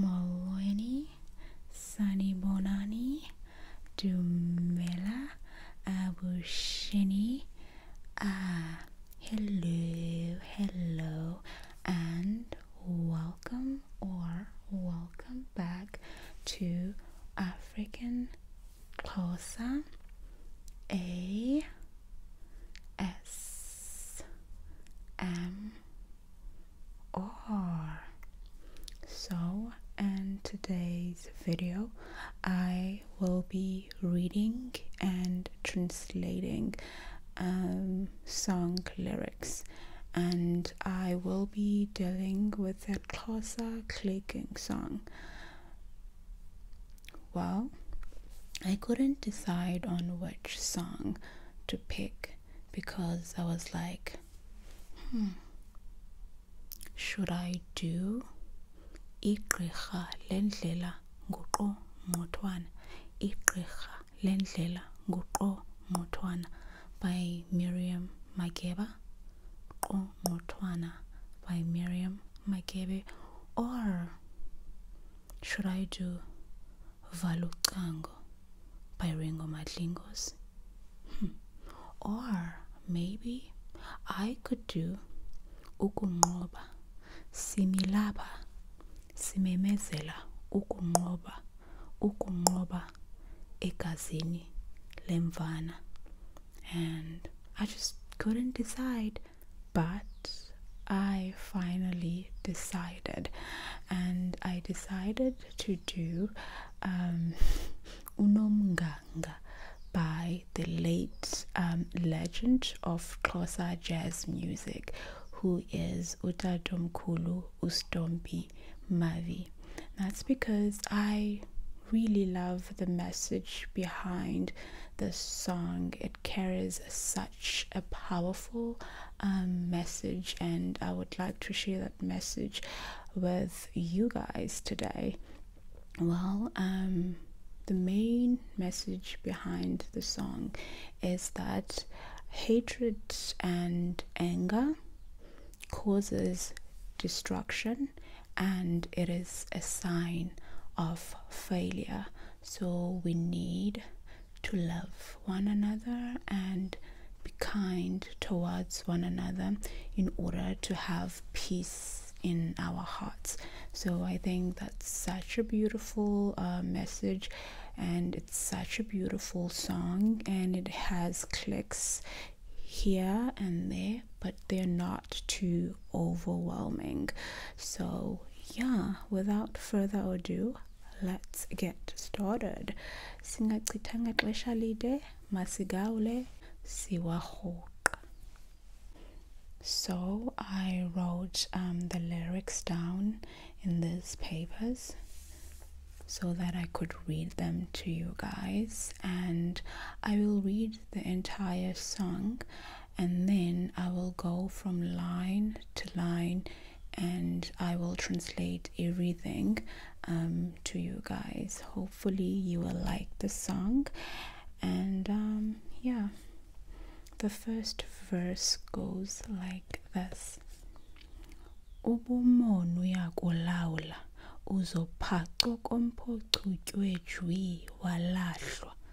Molloyne, Sunny Bonani, Dumela, Abushini. Ah, uh, hello, hello, and welcome or welcome back to African Xhosa. A S M R. So, in today's video, I will be reading and translating um, song lyrics, and I will be dealing with the Xhosa clicking song. Well, I couldn't decide on which song to pick because I was like, hmm, should I do igqirha lendlela nguqo ngqothwana igqirha lendlela nguqo ngqothwana by miriam makeba qo ngqothwana by miriam makebe or should i do Valukango, Ucango matlingo's, hmm. or maybe I could do Ukungoba Similaba Simemezela Ukungoba Ukungoba Egazini limvana, and I just couldn't decide but I finally decided, and I decided to do um, Unomganga by the late um, legend of Xhosa jazz music, who is Utadomkulu Ustombi Mavi. That's because I really love the message behind the song it carries such a powerful um, message and i would like to share that message with you guys today well um, the main message behind the song is that hatred and anger causes destruction and it is a sign of failure so we need to love one another and be kind towards one another in order to have peace in our hearts so i think that's such a beautiful uh, message and it's such a beautiful song and it has clicks here and there but they're not too overwhelming so, yeah, without further ado, let's get started. Singachithanga xesha lide masigawule siwarhoqa. So, I wrote um, the lyrics down in these papers so that I could read them to you guys, and I will read the entire song and then I will go from line to line and I will translate everything um, to you guys. Hopefully, you will like the song. And um, yeah, the first verse goes like this. ubumonu uyakulawula uzophaco komphocutywe jwi walahlwa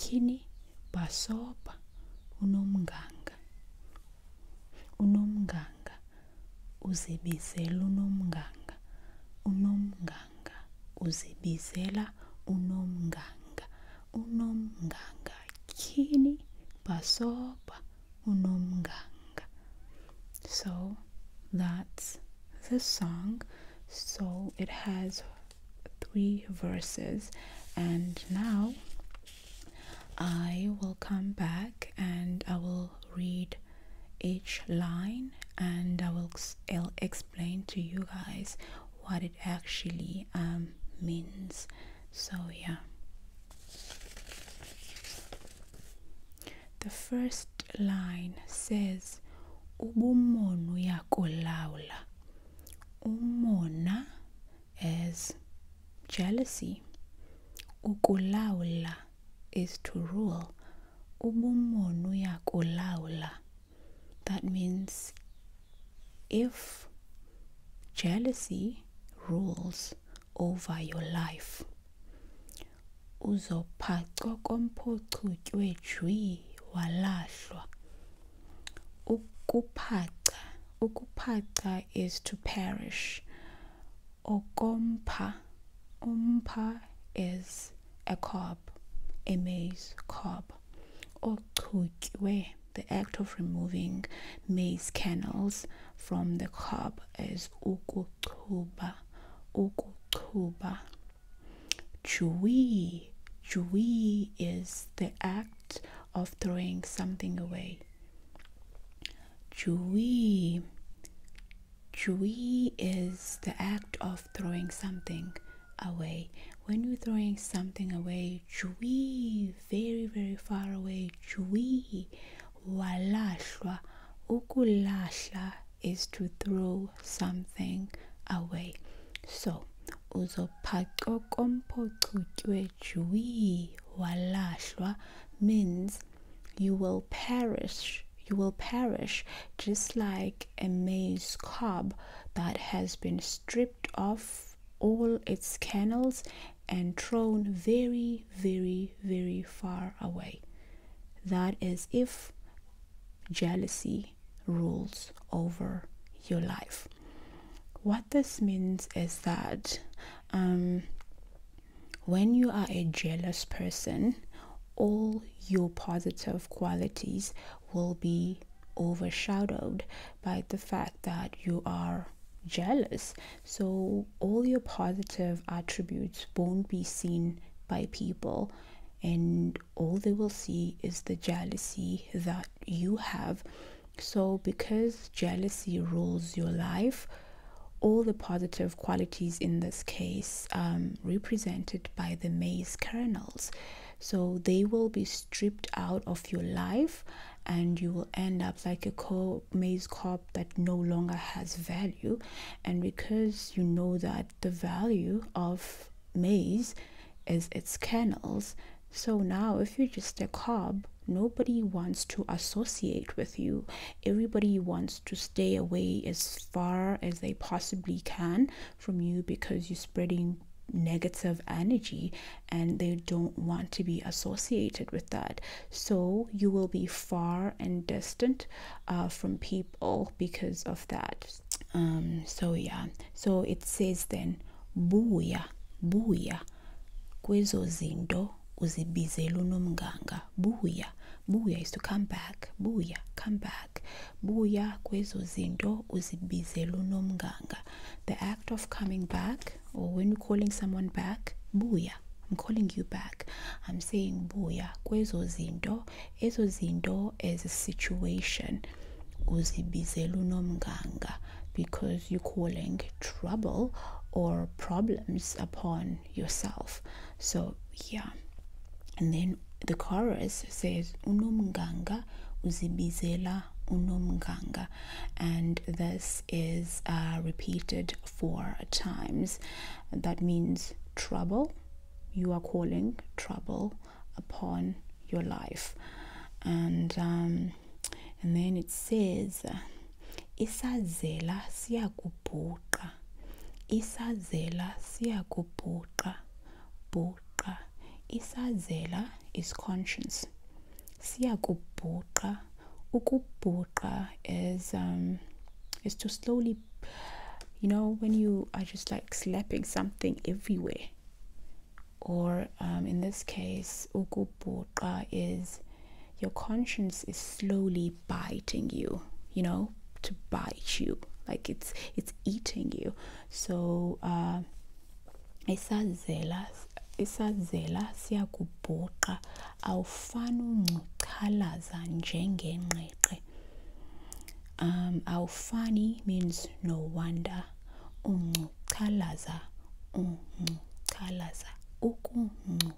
Kini basoba unomnganga unomnganga uzibizela unomnganga unomnganga uzibizela unomnganga unomnganga Kini basoba unomnganga so that's the song so it has three verses and now I will come back and I will read each line and I will I'll explain to you guys what it actually um, means. So, yeah. The first line says ubumonu yakolawula umona as jealousy ukulawula is to rule ubumona uyakulawula that means if jealousy rules over your life uzophacwa komphucutywe jwi walahlwa Ukuphaca. Ukuphaca is to perish. Ogompa. Umpa is a cob, a maize cob. Ochutywe, the act of removing maize kernels from the cob is ukuchuba. Ukuchuba. Jui, jui is the act of throwing something away. Jui, jui is the act of throwing something away. When you're throwing something away, jui very, very far away, jui walashwa, ukulasha is to throw something away. So, uzophaco kompocutywe jwi walahlwa means you will perish you will perish just like a maize cob that has been stripped of all its kernels and thrown very very very far away that is if jealousy rules over your life. What this means is that um, when you are a jealous person, all your positive qualities will be overshadowed by the fact that you are jealous. So, all your positive attributes won't be seen by people, and all they will see is the jealousy that you have. So, because jealousy rules your life, all the positive qualities in this case um, represented by the maize kernels. So they will be stripped out of your life, and you will end up like a co- maize crop that no longer has value. And because you know that the value of maize is its kernels. So now, if you're just a cob, nobody wants to associate with you. Everybody wants to stay away as far as they possibly can from you because you're spreading negative energy and they don't want to be associated with that. So you will be far and distant uh, from people because of that. Um, so yeah so it says then buya buya kwezo zindo uzibizela unomnganga buya buya is to come back buya come back buya kwezo zindo uzibizela unomnganga the act of coming back or when you're calling someone back buya i'm calling you back i'm saying buya kwezo zindo ezo zinto as a situation uzibizela unomnganga because you're calling trouble or problems upon yourself so yeah and then the chorus says unomnganga uzibizela unomganga and this is uh, repeated four times that means trouble you are calling trouble upon your life. And um, and then it says isazela siyakubhuqa isazela siyakubhuqa bhuqa isazela is conscience siyakubhuqa ukubhuqa is um, is to slowly you know when you are just like slapping something everywhere or um, in this case ukubuqa is your conscience is slowly biting you you know to bite you like it's it's eating you so uh isazela isazela siyakubhuqa awufani uncuchalaza njengengqeqe um, Aufani means no wonder. Um, Um, kalaza. kalaza. Unchalaza, unchalaza,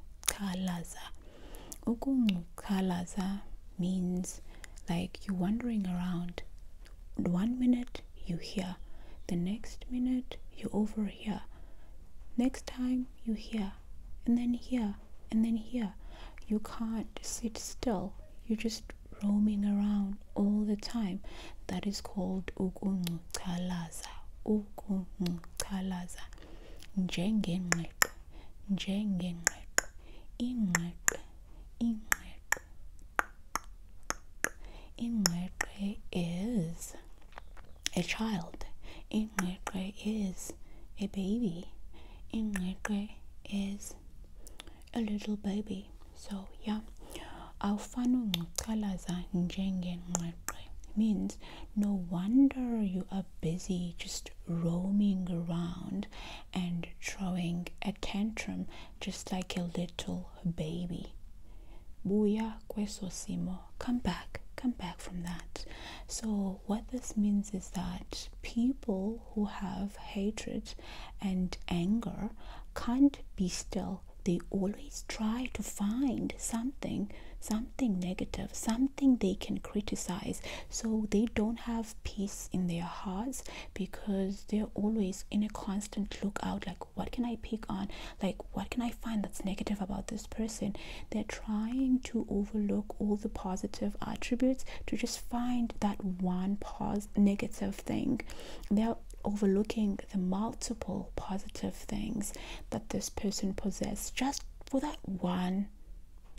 Um, kalaza means like you're wandering around. One minute you hear, the next minute you overhear. next time you hear, and then here, and then here you can't sit still you're just roaming around all the time that is called ukun ukunchalaza ukunchalaza njengengqeqe njengengqeqe ingqeqe ingqeqe ingqeqe is a child ingqeqe is a baby ingqeqe is a little baby so yeah awufane ungcucalaza njengengqeqe means no wonder you are busy just roaming around and throwing a tantrum just like a little baby buya kweso simo come back come back from that so what this means is that people who have hatred and anger can't be still. They always try to find something, something negative, something they can criticize. So, they don't have peace in their hearts because they're always in a constant lookout like, what can I pick on? Like, what can I find that's negative about this person? trying to overlook all the positive attributes to just find that one pos negative thing. They're overlooking the multiple positive things that this person possesses just for that one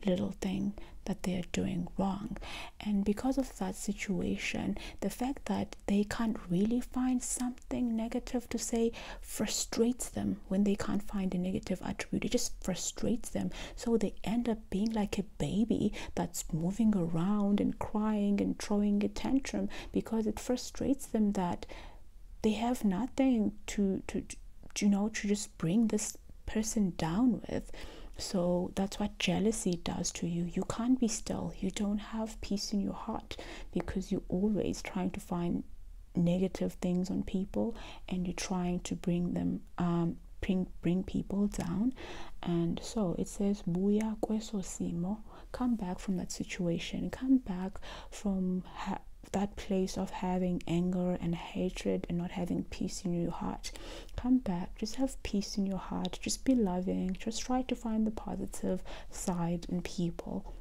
little thing that they're doing wrong. And because of that situation, the fact that they can't really find something negative to say frustrates them when they can't find a negative attribute. It just frustrates them so they end up being like a baby that's moving around and crying and throwing a tantrum because it frustrates them that they have nothing to to, you know to just bring this person down with so that's what jealousy does to you. You can't be still. You don't have peace in your heart because you're always trying to find negative things on people and you're trying to bring them um, bring bring people down and so it says buya kweso simo come back from that situation come back from that place of having anger and hatred and not having peace in your heart come back just have peace in your heart just be loving just try to find the positive side in people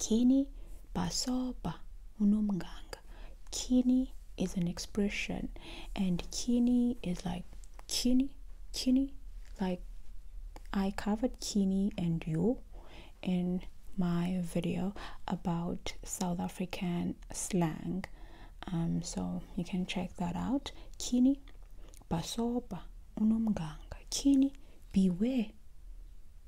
kini basoba unomgang kini is an expression and kini is like kini kini like i covered kini and you in my video about south african slang um, so you can check that out kini paso ba unomganga kini beware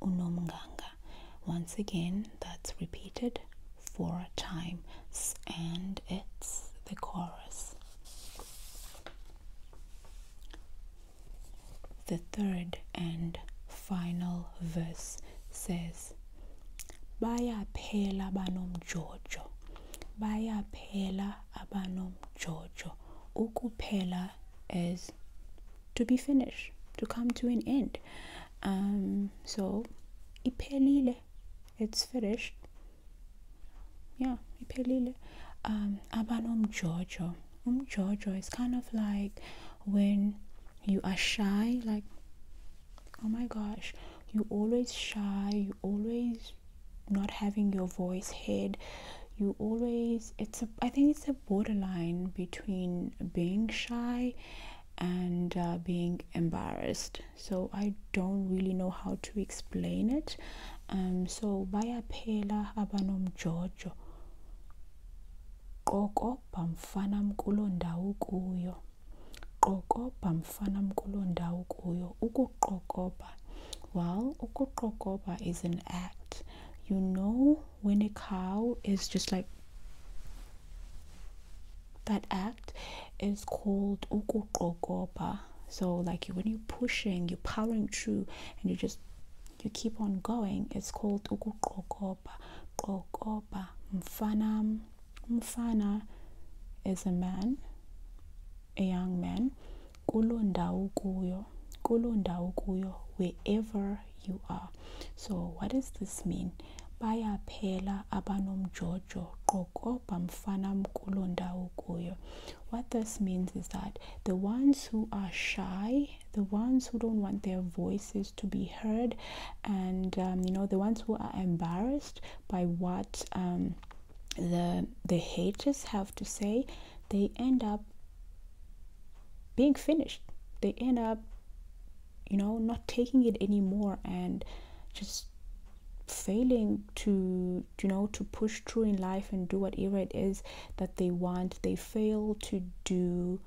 unomganga. Once again, that's repeated four times and it's the chorus. The third and final verse says, Jojo, Bayaphela banomjojo, bayaphela abanomjojo. Ukuphela is to be finished, to come to an end. Um, so, iphelile, it's finished. Yeah, iphelile. Um, aban umjojo. Umjojo is kind of like when you are shy, like, oh my gosh, you always shy, you always not having your voice heard you always it's a i think it's a borderline between being shy and uh, being embarrassed so i don't really know how to explain it um so bayaphela abanomjojo qoko bamfana mkulo ndawo kuyo qokoba mfana mkulo ndawo kuyo ukuqokoba well ukuqokoba is an act you know when a cow is just like that act is called ukuqogoba so like when you're pushing you're powering through and you just you keep on going it's called ukuqogoba qogoba mfana mfana is a man a young man kulo ndawo kuyo kulo ndawo wherever you are so what does this mean Baya bayaphela abanom Jojo mfanam kulo ndawo kuyo what this means is that the ones who are shy the ones who don't want their voices to be heard and um, you know the ones who are embarrassed by what um, the the haters have to say they end up being finished. They end up, you know, not taking it anymore and just failing to you know to push through in life and do whatever it is that they want they fail to do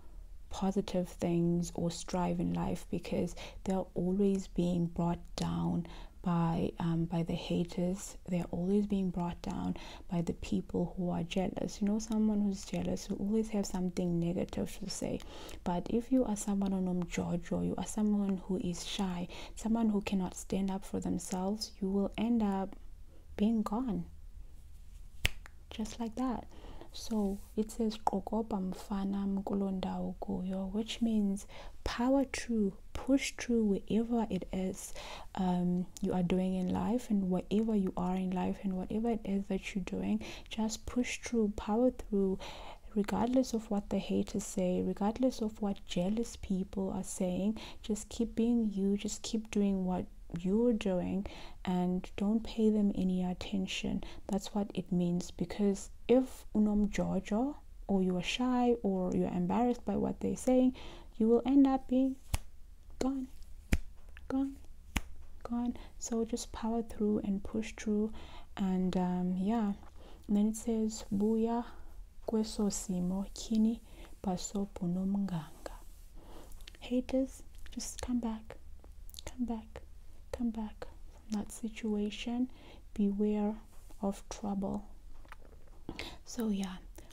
positive things or strive in life because they're always being brought down by um, by the haters they're always being brought down by the people who are jealous. You know, someone who's jealous will always have something negative to say. But if you are someone on Jojo, you are someone who is shy, someone who cannot stand up for themselves, you will end up being gone. Just like that. So it says Kokoba Mfana Mkulonda Ukuyo, which means power through, push through wherever it is. Um, you are doing in life and whatever you are in life and whatever it is that you're doing just push through power through regardless of what the haters say regardless of what jealous people are saying just keep being you just keep doing what you're doing and don't pay them any attention that's what it means because if unom jojo or you are shy or you're embarrassed by what they're saying you will end up being gone gone gone so just power through and push through and um, yeah then it says buya kweso simo kini paso punomnganga haters just come back come back come back from that situation beware of trouble so yeah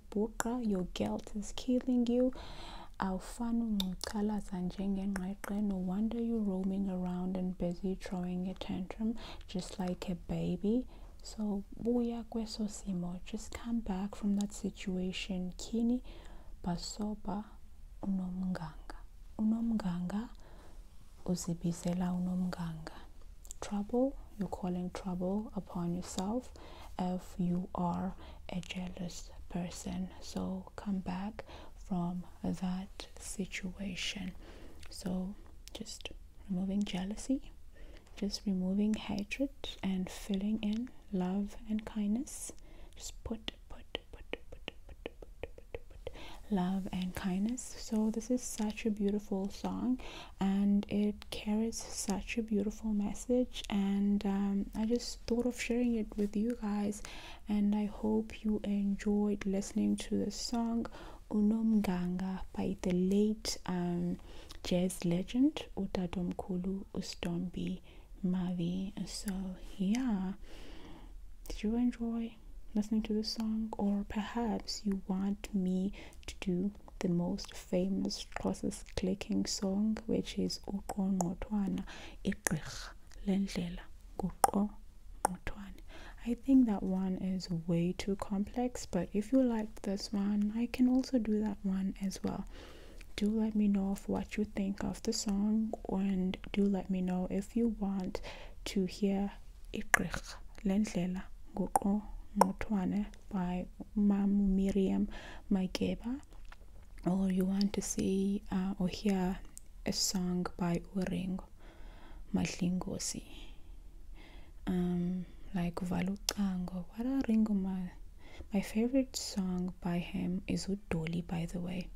ukubhuqa your guilt is killing you awufani ungcucalaza njengengqeqe no wonder you roaming around and busy throwing a tantrum just like a baby so buya kweso simo just come back from that situation kini basoba unomnganga unomnganga uzibizela unomnganga trouble you're calling trouble upon yourself if you are a jealous person so come back from that situation so just removing jealousy just removing hatred and filling in love and kindness just put put put put put put put, put love and kindness so this is such a beautiful song and it carries such a beautiful message and um, i just thought of sharing it with you guys and i hope you enjoyed listening to the song unomganga by the late um, jazz legend Otadomkulu ustombi mavi so yeah did you enjoy listening to the song or perhaps you want me to do the most famous Xhosa's clicking song, which is ukon Uqongqotwana, Igqirha Lendlela, Guqongqotwana. I think that one is way too complex, but if you like this one, I can also do that one as well. Do let me know of what you think of the song, and do let me know if you want to hear Igqirha Lendlela, Guqongqotwana by Mam Miriam Maigeba, or you want to see uh, or hear a song by Urengo Mahlingosi, um, like Valutango. What a Ringo Ma. My favorite song by him is Udoli, by the way.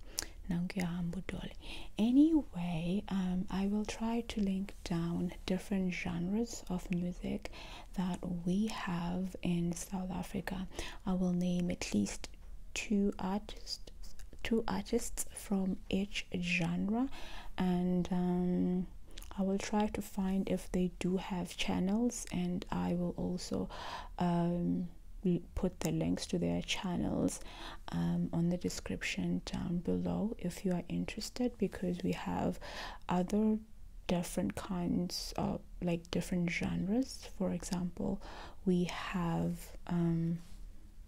Nangiahambu hambudoli. Anyway, um, I will try to link down different genres of music that we have in South Africa. I will name at least two artists two artists from each genre and um, I will try to find if they do have channels and I will also um, put the links to their channels um, on the description down below if you are interested because we have other different kinds of like different genres for example we have um,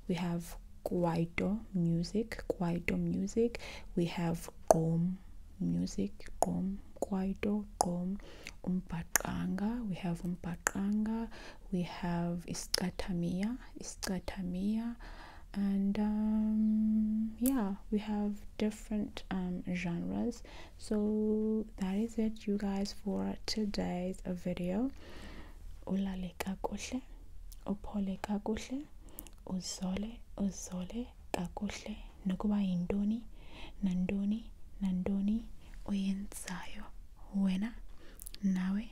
we have kwaito music kwaito music we have gom music gom kwaito gom umbaqanga we have umbaqanga we have iskatamiya iskatamiya and um, yeah we have different um, genres so that is it you guys for today's video ulale kakuhle uphole kakuhle uzole uzole kakuhle nokuba yintoni nantoni nantoni uyenzayo wena nawe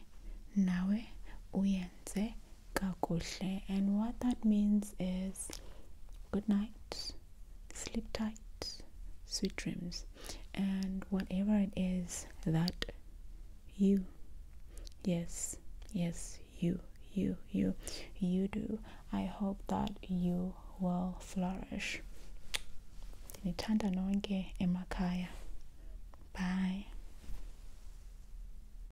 nawe uyenze kakuhle and what that means is good night sleep tight sweet dreams and whatever it is that you yes yes you you you you do i hope that you will flourish ndinithanda nonke emakhaya bye